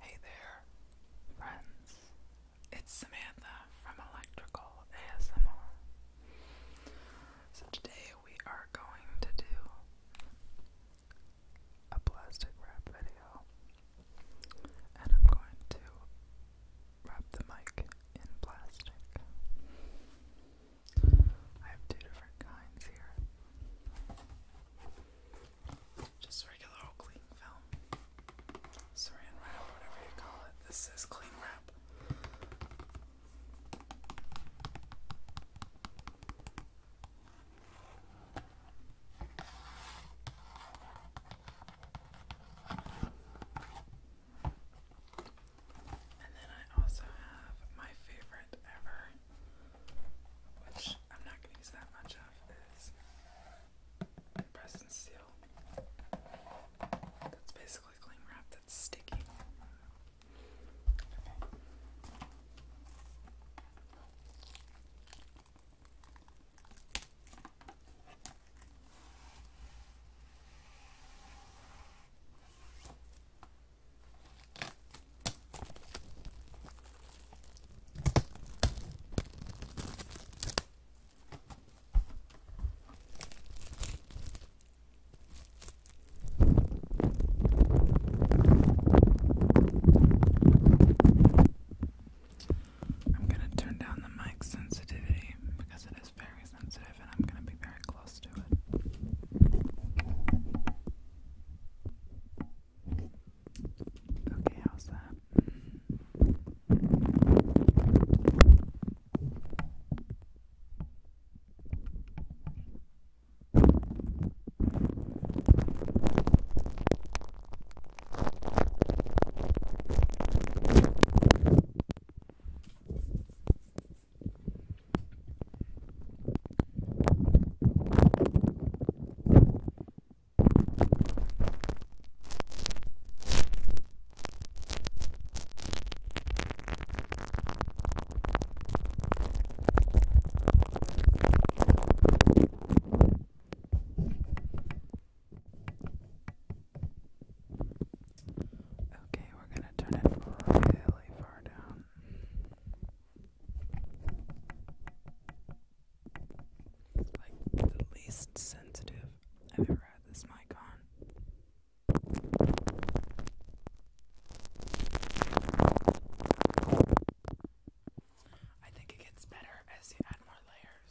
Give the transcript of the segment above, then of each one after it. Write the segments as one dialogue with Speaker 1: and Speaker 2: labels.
Speaker 1: Hey there, friends. It's Samantha from Electrical ASMR. So today we are going to do a plastic wrap video, and I'm going to wrap the mic in
Speaker 2: plastic. I have two different kinds here. Just regular old cling film. Saran wrap, whatever you call it. This is cling wrap. And then I also have my favorite ever which I'm not going to use that much of, press and seal. That's basically cling wrap that's sticky. Okay.
Speaker 1: I'm going to turn down the mic sensitivity because it is very sensitive and I'm going to be very close to it. Okay, how's that? Okay, Okay, we're going to turn it really far down like the least sensitive I've ever had this mic on. I think it gets better as you add more layers.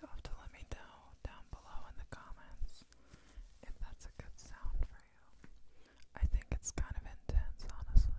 Speaker 1: you have to let me know down below in the comments if that's a good sound for you. I think it's kind of intense, honestly.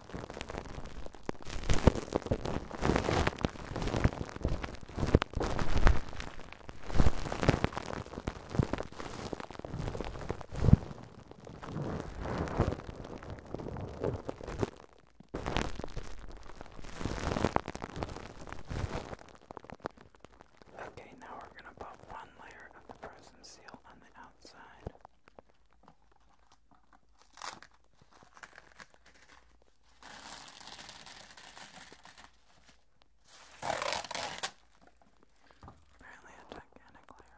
Speaker 1: Okay, now we're going to put one layer of the frozen seal on the outside. Apparently a gigantic layer.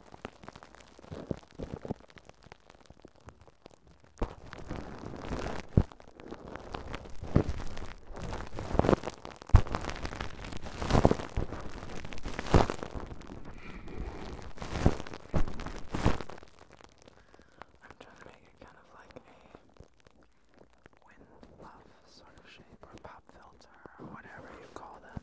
Speaker 1: I'm trying to make it kind of like a wind puff sort of shape or pop filter or whatever you call them.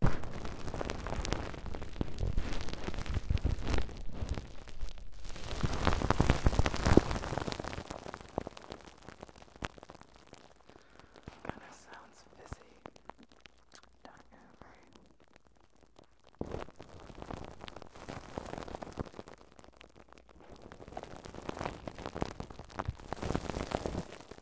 Speaker 1: Kind of sounds fizzy. Don't you agree?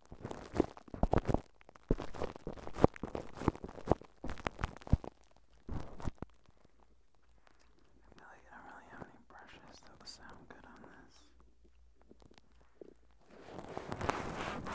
Speaker 1: feel like I don't really have any brushes that would sound good on this. I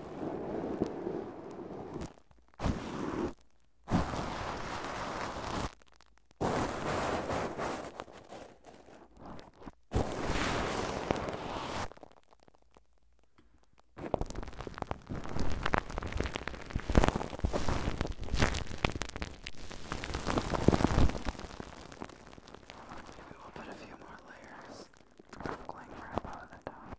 Speaker 1: Maybe we'll put a few more layers of cling wrap over the top.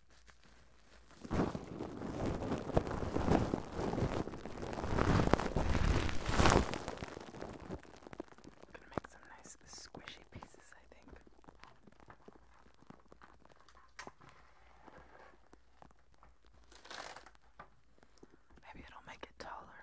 Speaker 1: Gonna make some nice squishy pieces, I think. Maybe it'll make it taller.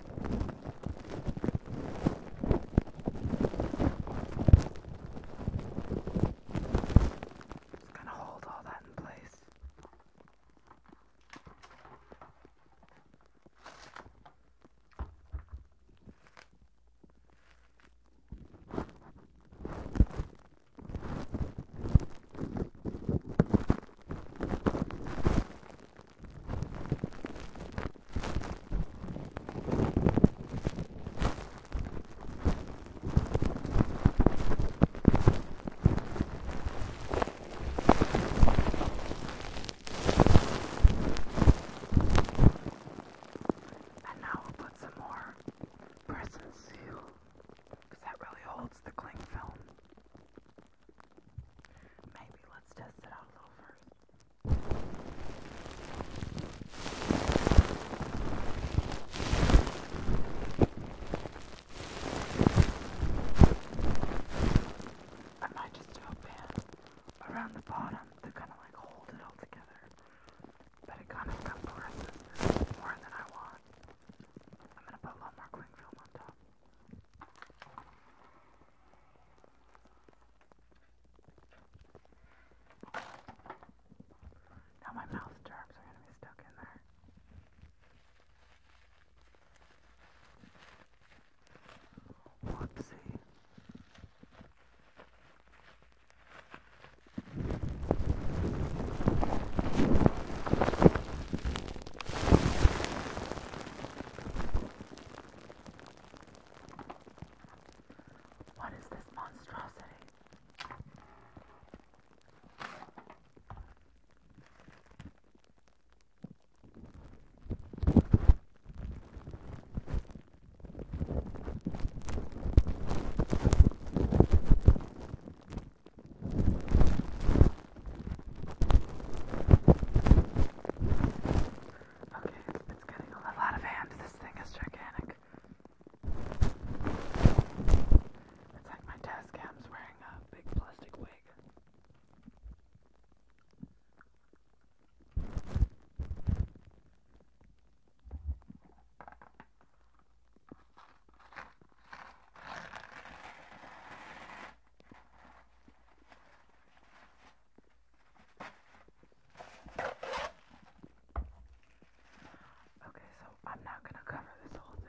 Speaker 1: Just gonna hold all that in place. And now we'll put some more press and seal because that really holds the cling film. Maybe let's test it out a little first. I might just do around the bottom to kind of like hold it all together. But it kind of compresses more than I want. I'm gonna put a more cling film on top. Now my mouth germs are going to be stuck in there. Whoopsie. What is this monstrosity? Okay, it's getting a little out of hand. This thing is gigantic. It's like my desk cam's wearing a big plastic wig. Okay, so I'm not going to cover this whole thing.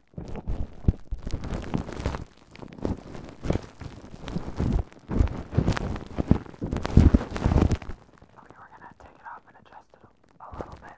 Speaker 1: Okay, we're gonna take it off and adjust it a little bit.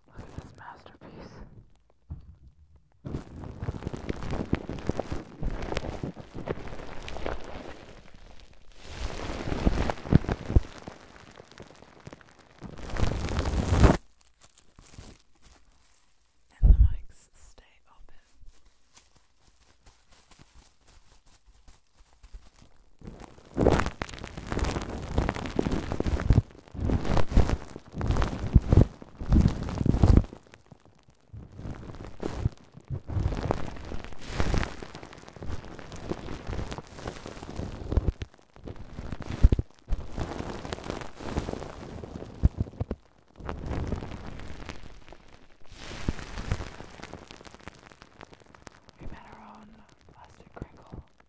Speaker 1: Look at this masterpiece. And the mics stay open. We met our own plastic crinkle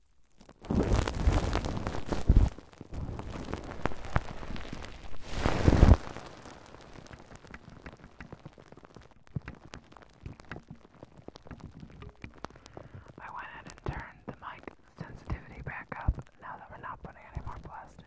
Speaker 1: I went ahead and turned the mic sensitivity back up now that we're not putting any more plastic.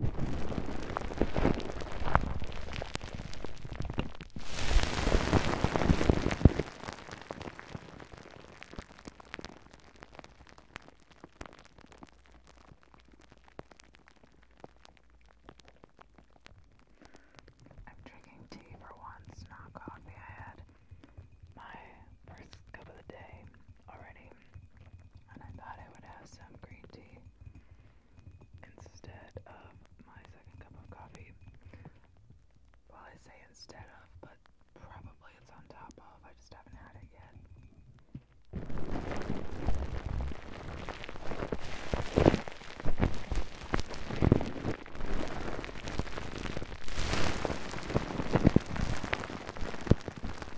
Speaker 1: I'm drinking tea for once, not coffee. I had my first cup of the day already, and I thought I would have some green tea instead of my second cup of coffee. Well, I say instead of, but probably it's on top of. I just haven't had it yet.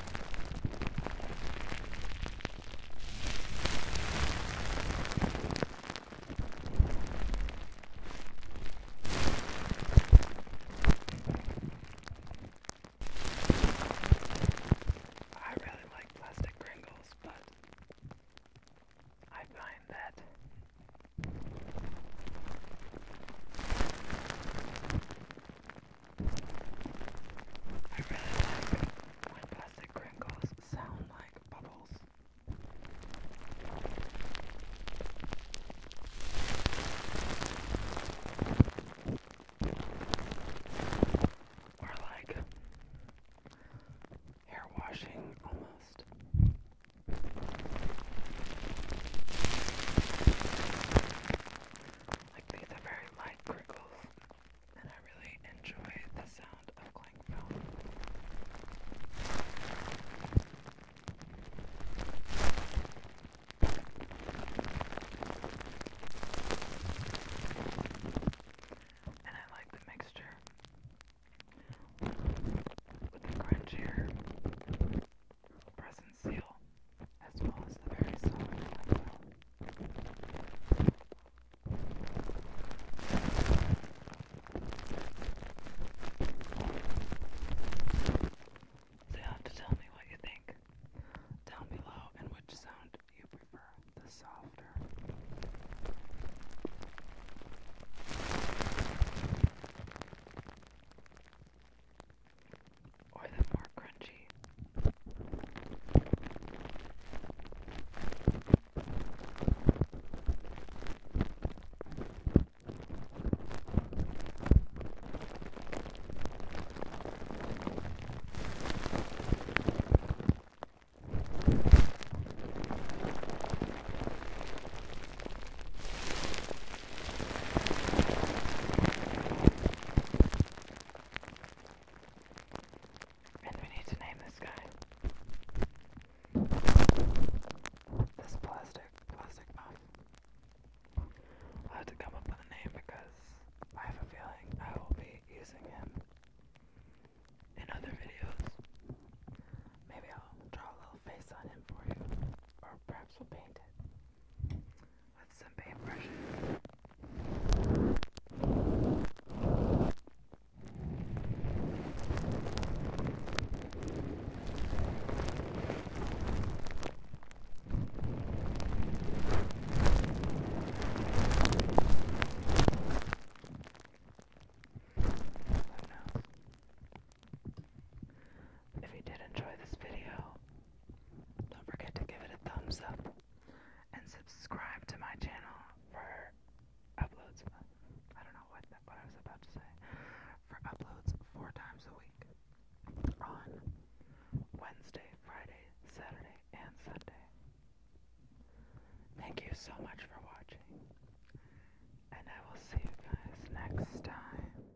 Speaker 1: I really like plastic Pringles, but I find that I really like when plastic crinkles sound like bubbles. Or like hair washing almost. Like these are very light crinkles, and I really enjoy the sound of cling film. And I like the mixture with the crunchier present seal, as well as the very solid So you have to tell me what you think down below and which sound you prefer, the softer or the more crunchy. And we need to name this guy. This plastic, plastic muff. I'll have to come up with a name because I have a feeling I will be using him in other videos. Maybe I'll draw a little face on him for you, or perhaps we'll paint it with some paintbrushes. Who If you did enjoy this video, don't forget to give it a thumbs up and subscribe to my channel for uploads. I don't know what that, what I was about to say. For uploads four times a week on Wednesday, Friday, Saturday, and Sunday. Thank you so much for watching, and I will see you guys next time.